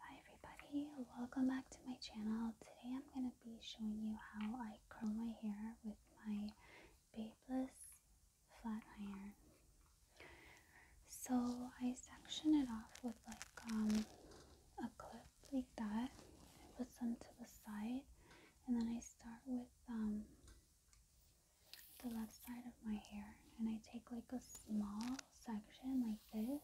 Hi everybody, welcome back to my channel. Today I'm going to be showing you how I curl my hair with my Babeless flat iron. So I section it off with like um, a clip like that, I put some to the side, and then I start with um, the left side of my hair and I take like a small section like this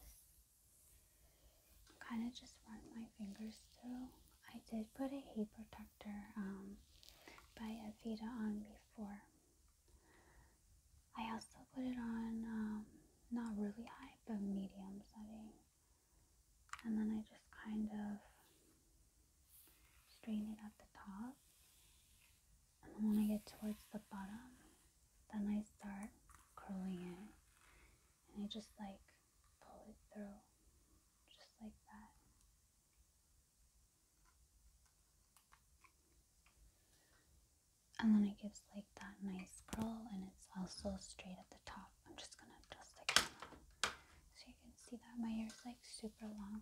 kind of just run my fingers through. I did put a heat protector um, by Avita on before. I also put it on um, not really high but medium setting. And then I just kind of straighten it at the top and when I get towards the bottom, then I start curling it and I just like pull it through just like that. And then it gives like that nice curl and it's also straight at the top. I'm just gonna adjust it camera so you can see that my hair is like super long.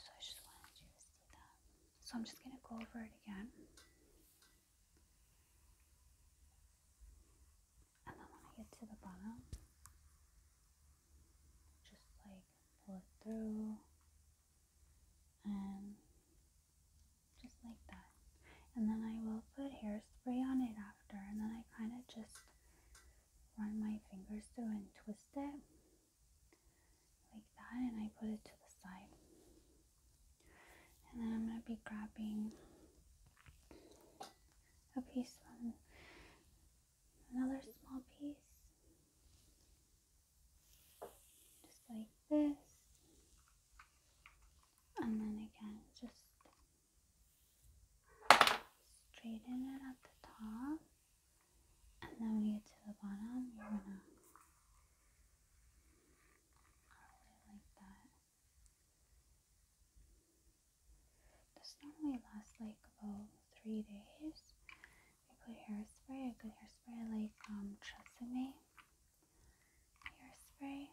So I just wanted you to see that. So I'm just gonna go over it again. And then when I get to the bottom, just like pull it through and just like that. And then I will put hairspray on it after, and then I kind of just run my fingers through and twist it like that and I put it to the side. And then I'm going to be grabbing a piece from another small piece. Just like this. And then again, just straighten it at the top. And then when you get to the bottom, you're going to I really like that. This normally lasts like about three days. I put hairspray, I put hairspray like um trust Tresemme hairspray.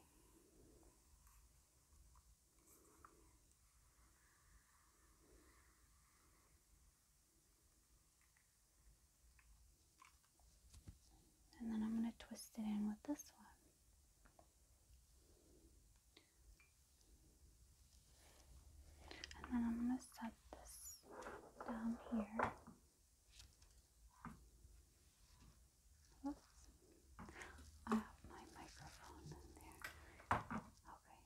And then I'm going to twist it in with this one. And then I'm going to set this down here. I have my microphone in there. Okay.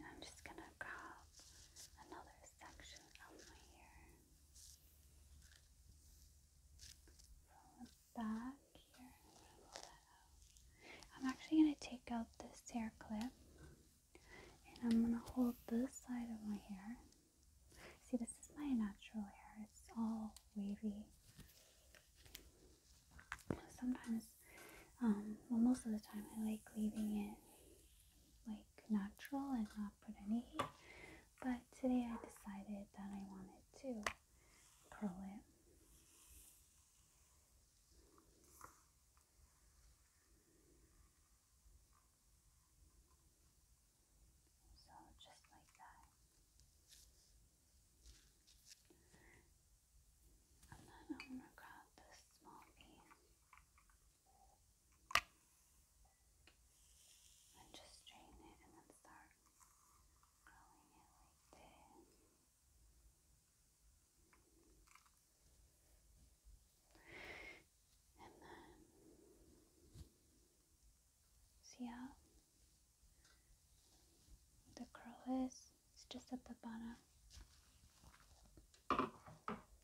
Now I'm just going to grab another section on my hair from the back here. I'm actually gonna take out this hair clip and I'm gonna hold this side of my hair. See, this is my natural hair. It's all wavy. Sometimes, um, well, most of the time, I like leaving it like natural and not put any heat. But today I decided that I wanted to curl it. So just like that. And then I'm gonna grab this small bean. And just straighten it and then start curling it like this. And then see how the curl is? It's just at the bottom.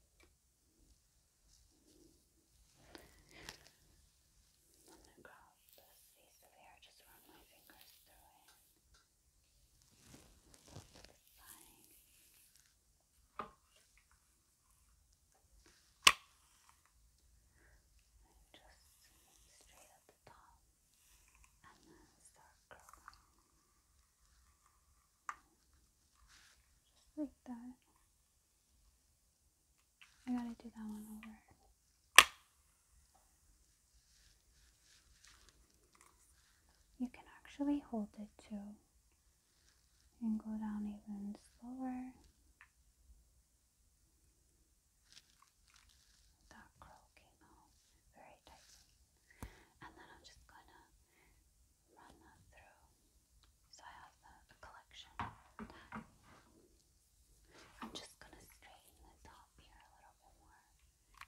I'm gonna grab this piece of hair, just run my fingers through it. just straight at the top and then start curling. Just Like that. I gotta do that one over. You can actually hold it too and go down even slower. That curl came out very tightly. And then I'm just gonna run that through. So I have a collection. I'm just gonna straighten this up here a little bit more.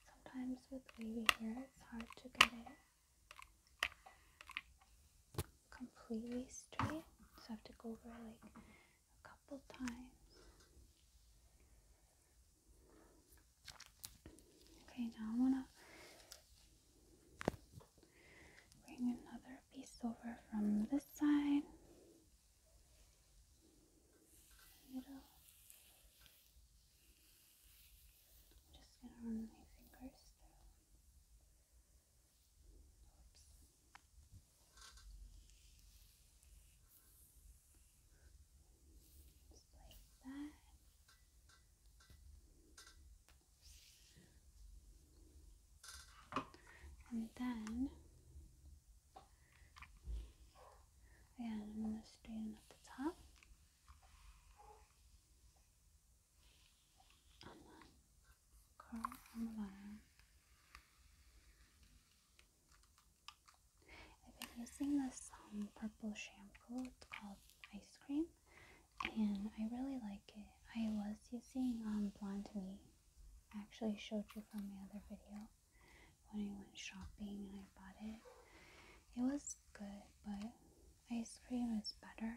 Sometimes with wavy hair, it's hard to get it completely straight. So I have to go over like a couple times. Okay, now I am going to bring another piece over from this side. just going to run my fingers through. Just like that. And then, again, I'm going to stay in at the top. And then curl on the bottom. I've been using this um, purple shampoo, it's called ice cream and I really like it. I was using um, Blonde Me. I actually showed you from my other video when I went shopping and I bought it. It was good, but ice cream is better.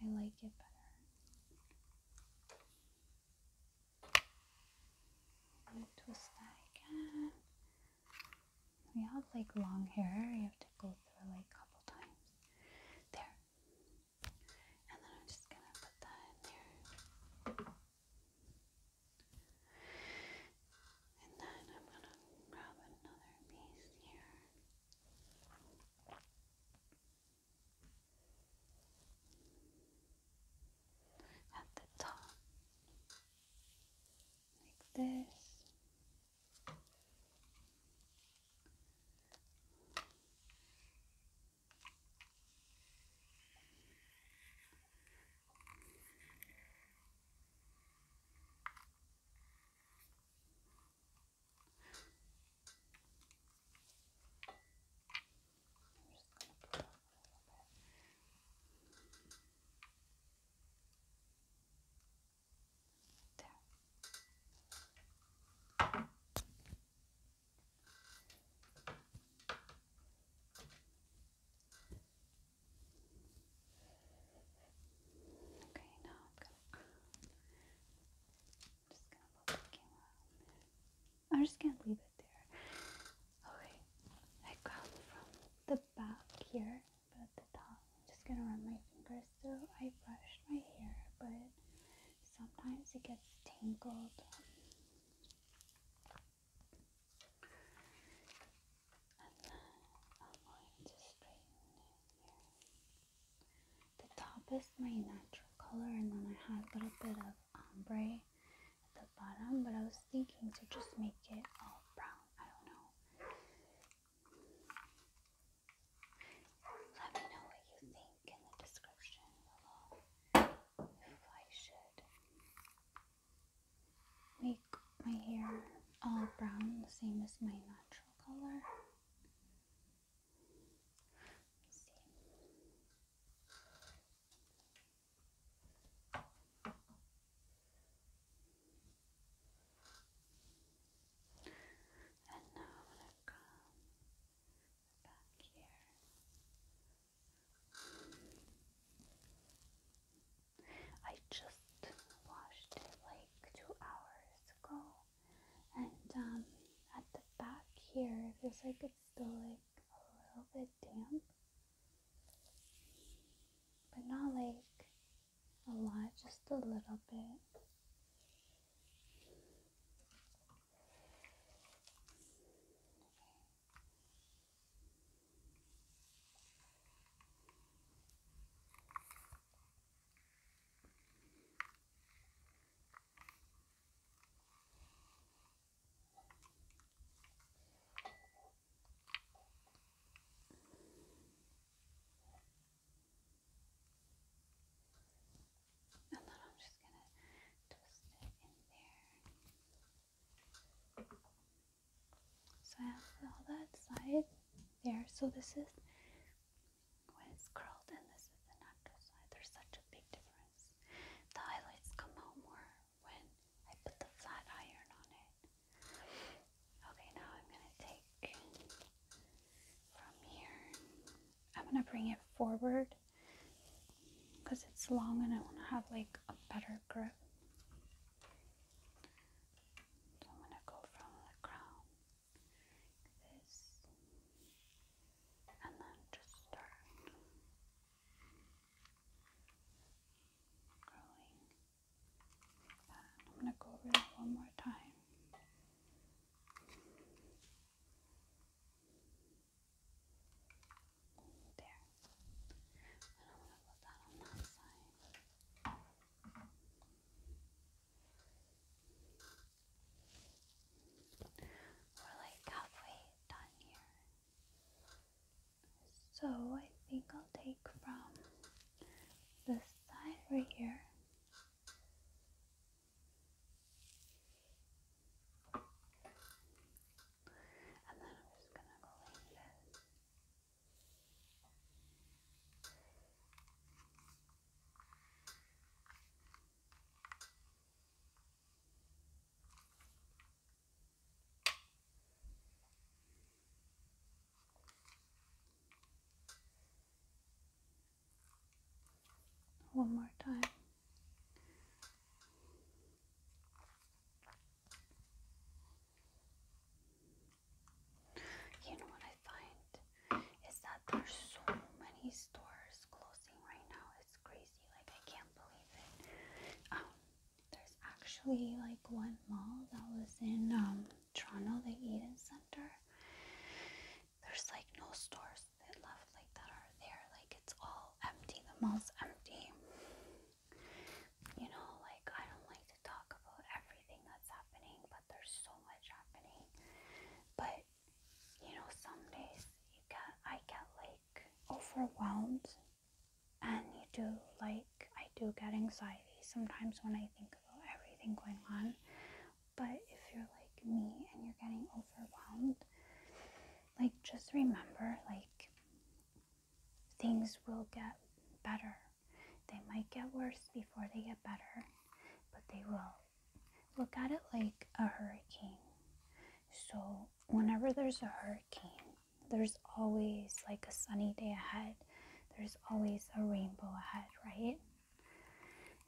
I like it better. twist that again. We have like long hair. You have to go through like a couple times. There. And then I'm just gonna put that in there. And then I'm gonna grab another piece here. At the top like this. I'm just going to put a little bit. Okay, now I'm just gonna I'm just gonna leave it there. Okay, I come from the back here about the top. I'm just gonna run my fingers through. I brushed my hair, but sometimes it gets tangled. And then I'm going to straighten it here. The top is my natural color, and then I had a little bit of ombre at the bottom, but I was thinking to just make it all brown. I don't know. Let me know what you think in the description below if I should make my hair all brown, the same as my natural color. And now i come back here. I just washed it like two hours ago, and um, at the back here, it feels like it's still like a little bit damp, but not like a lot, just a little bit. And then I'm just going to twist it in there. So I have all that side there. So this is when it's curled and this is the natural side. There's such a big difference. The highlights come out more when I put the flat iron on it. Okay, now I'm going to take from here. I'm going to bring it forward because it's long and I want to have like a better grip. So I'm going to go from the crown this and then just start. I'm going to go over that one more time. There. And I'm going to put that on that side. We're like halfway done here. So I think I'll take from this side right here. And then I'm just gonna go like one more time. You know what I find is that there's so many stores closing right now. It's crazy. Like I can't believe it. Um, there's actually like one mall that was in um, Toronto, the Eden Center. There's like no stores that left like that are there. Like it's all empty. The mall's empty. You know, like I don't like to talk about everything that's happening, but there's so much happening. But you know, some days you get I get like overwhelmed and you do like I do get anxiety sometimes when I think about everything going on. But if you're like me and you're getting overwhelmed, like just remember like things will get better. They might get worse before they get better, but they will. Look at it like a hurricane. So, whenever there's a hurricane, there's always like a sunny day ahead, there's always a rainbow ahead, right?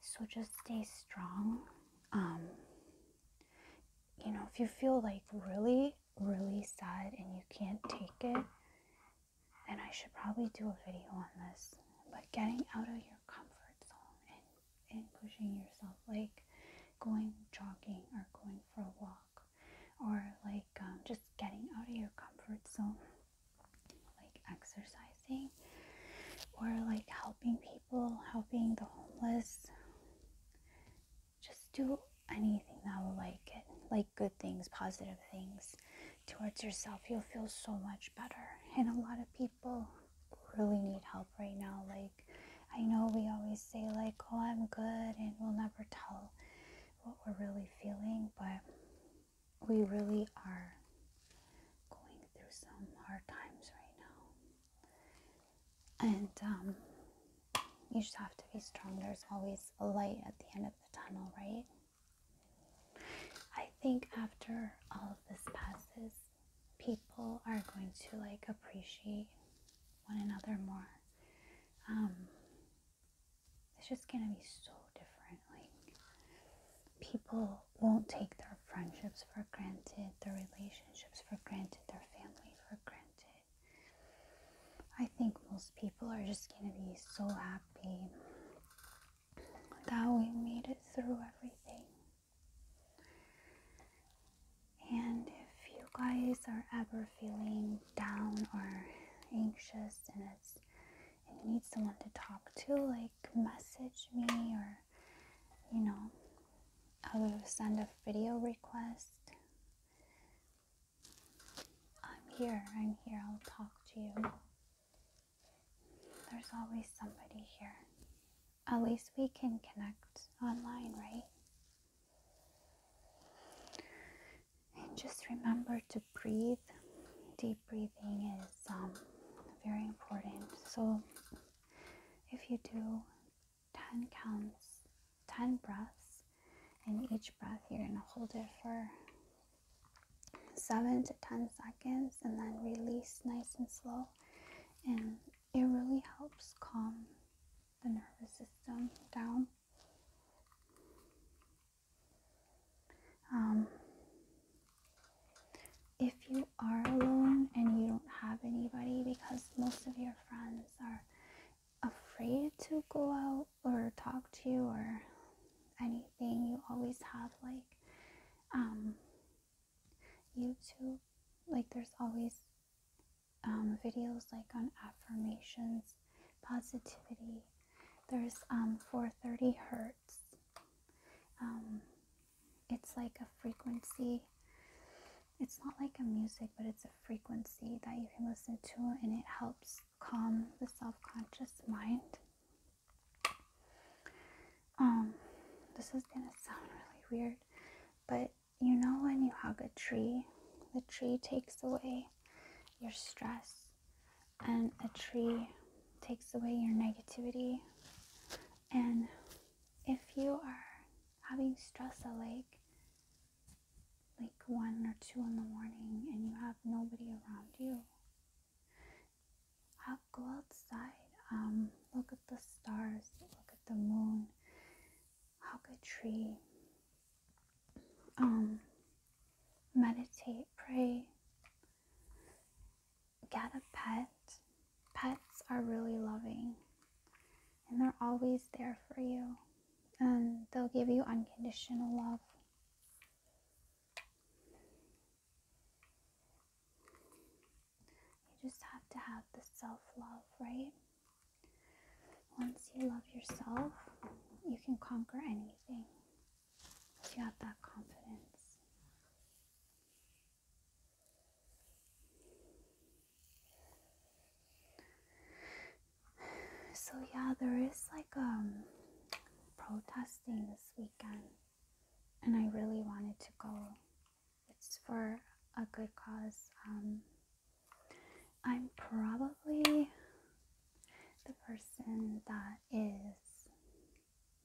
So, just stay strong. Um, you know, if you feel like really, really sad and you can't take it, then I should probably do a video on this. But getting out of your comfort zone and, and pushing yourself, like going jogging or going for a walk or like um, just getting out of your comfort zone like exercising or like helping people helping the homeless just do anything that will like it like good things positive things towards yourself you'll feel so much better and a lot of people really need help right now like I know we always say, like, oh, I'm good, and we'll never tell what we're really feeling, but we really are going through some hard times right now. And um, you just have to be strong. There's always a light at the end of the tunnel, right? I think after all of this passes, people are going to like appreciate one another more. Um, it's just gonna be so different. Like, people won't take their friendships for granted, their relationships for granted, their family for granted. I think most people are just gonna be so happy that we made it through everything. And if you guys are ever feeling down or anxious and it's and you need someone to talk to, like message me or you know, I will send a video request. I'm here, I'm here, I'll talk to you. There's always somebody here. At least we can connect online, right? And just remember to breathe. Deep breathing is um, very important. So if you do 10 counts, 10 breaths, and each breath you're going to hold it for 7 to 10 seconds and then release nice and slow and it really helps calm the nervous system down. Um, if you are alone and you don't have anybody, because most of your friends are afraid to go out or talk to you or anything, you always have like um, YouTube. Like, there's always um, videos like on affirmations, positivity. There's um, 430 hertz. Um, it's like a frequency. It's not like a music, but it's a frequency that you can listen to, and it helps calm the self-conscious mind. Um, this is gonna sound really weird, but you know, when you hug a tree, the tree takes away your stress, and a tree takes away your negativity. And if you are having stress like like one or two in the morning and you have nobody around you, I'll go outside, um, look at the stars, look at the moon, hug a tree, um, meditate, pray, get a pet. Pets are really loving and they're always there for you and they'll give you unconditional love. You just have to have the self love, right? Once you love yourself, you can conquer anything you have that confidence. So, yeah, there is like um protesting this weekend, and I really wanted to go it's for a good cause. Um, I'm probably the person that is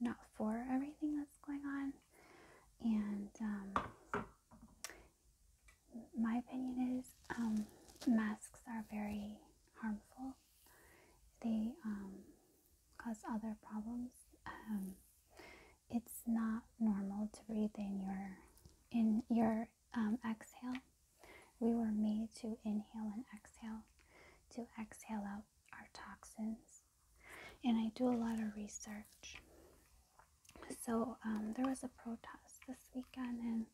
not for everything that's going on, and um, my opinion is um, masks are very harmful. They cause other problems it's not normal to breathe in your in your um, exhale. We were made to inhale and exhale, to exhale out our toxins. And I do a lot of research. So um, there was a protest this weekend, and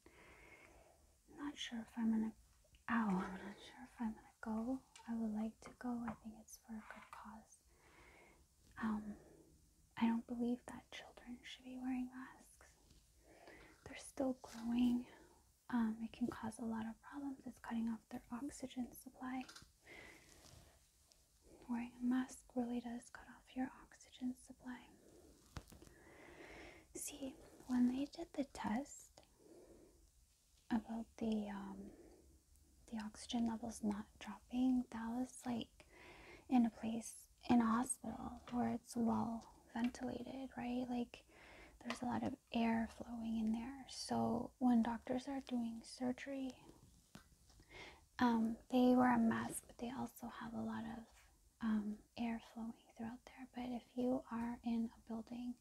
I'm not sure if I'm gonna. Oh, I'm not sure if I'm gonna go. I would like to go. I think it's for a good cause. Um, I don't believe that children should be wearing masks. They're still growing. Um, it can cause a lot of problems. It's cutting off their oxygen supply. Wearing a mask really does cut off your oxygen supply. See, when they did the test about the um, the oxygen levels not dropping, that was like in a place in a hospital where it's well ventilated, right? Like there's a lot of air flowing in there. So when doctors are doing surgery, um, they wear a mask, but they also have a lot of um, air flowing throughout there. But if you are in a building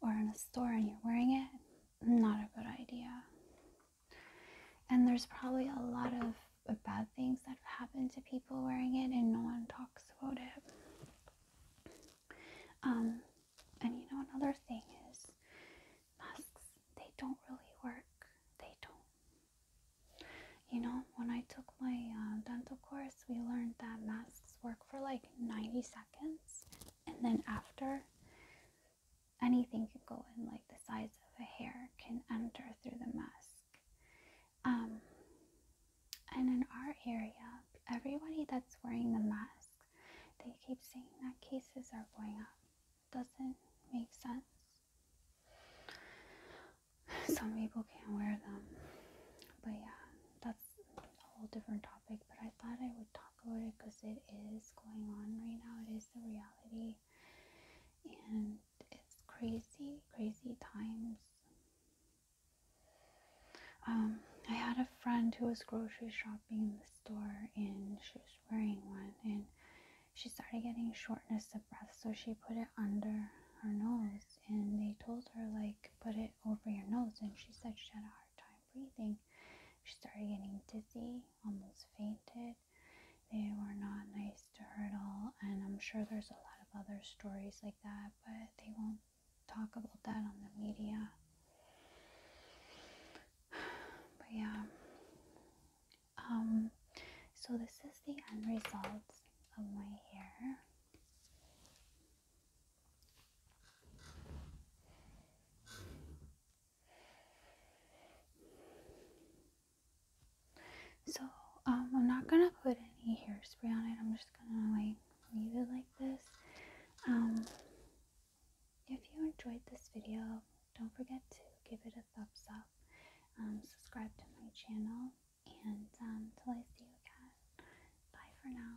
or in a store and you're wearing it, not a good idea. And there's probably a lot of bad things that happen to people wearing it, and no one talks about it. Um, and you know, another thing is masks, they don't really work. They don't. You know, when I took my uh, dental course, we learned that masks work for like 90 seconds, and then after, anything can go in, like the size of a hair can enter through the mask. Um, and in our area, everybody that's wearing the mask, they keep saying that cases are going up. Doesn't make sense. Some people can't wear them, but yeah, that's a whole different topic. But I thought I would talk about it because it is going on right now. It is the reality and it's crazy, crazy times. Um, I had a friend who was grocery shopping in the store and she was wearing one and she started getting shortness of breath so she put it under her nose and they told her like put it over your nose and she said she had a hard time breathing. She started getting dizzy, almost fainted they were not nice to her at all, and I'm sure there's a lot of other stories like that, but they won't talk about that on the media. But yeah. Um, so this is the end result of my hair. So um, I'm not gonna put any hairspray on it. I'm just gonna leave it like this. Um, if you enjoyed this video, don't forget to give it a thumbs up. Um, subscribe to my channel, and until I see you again, bye for now.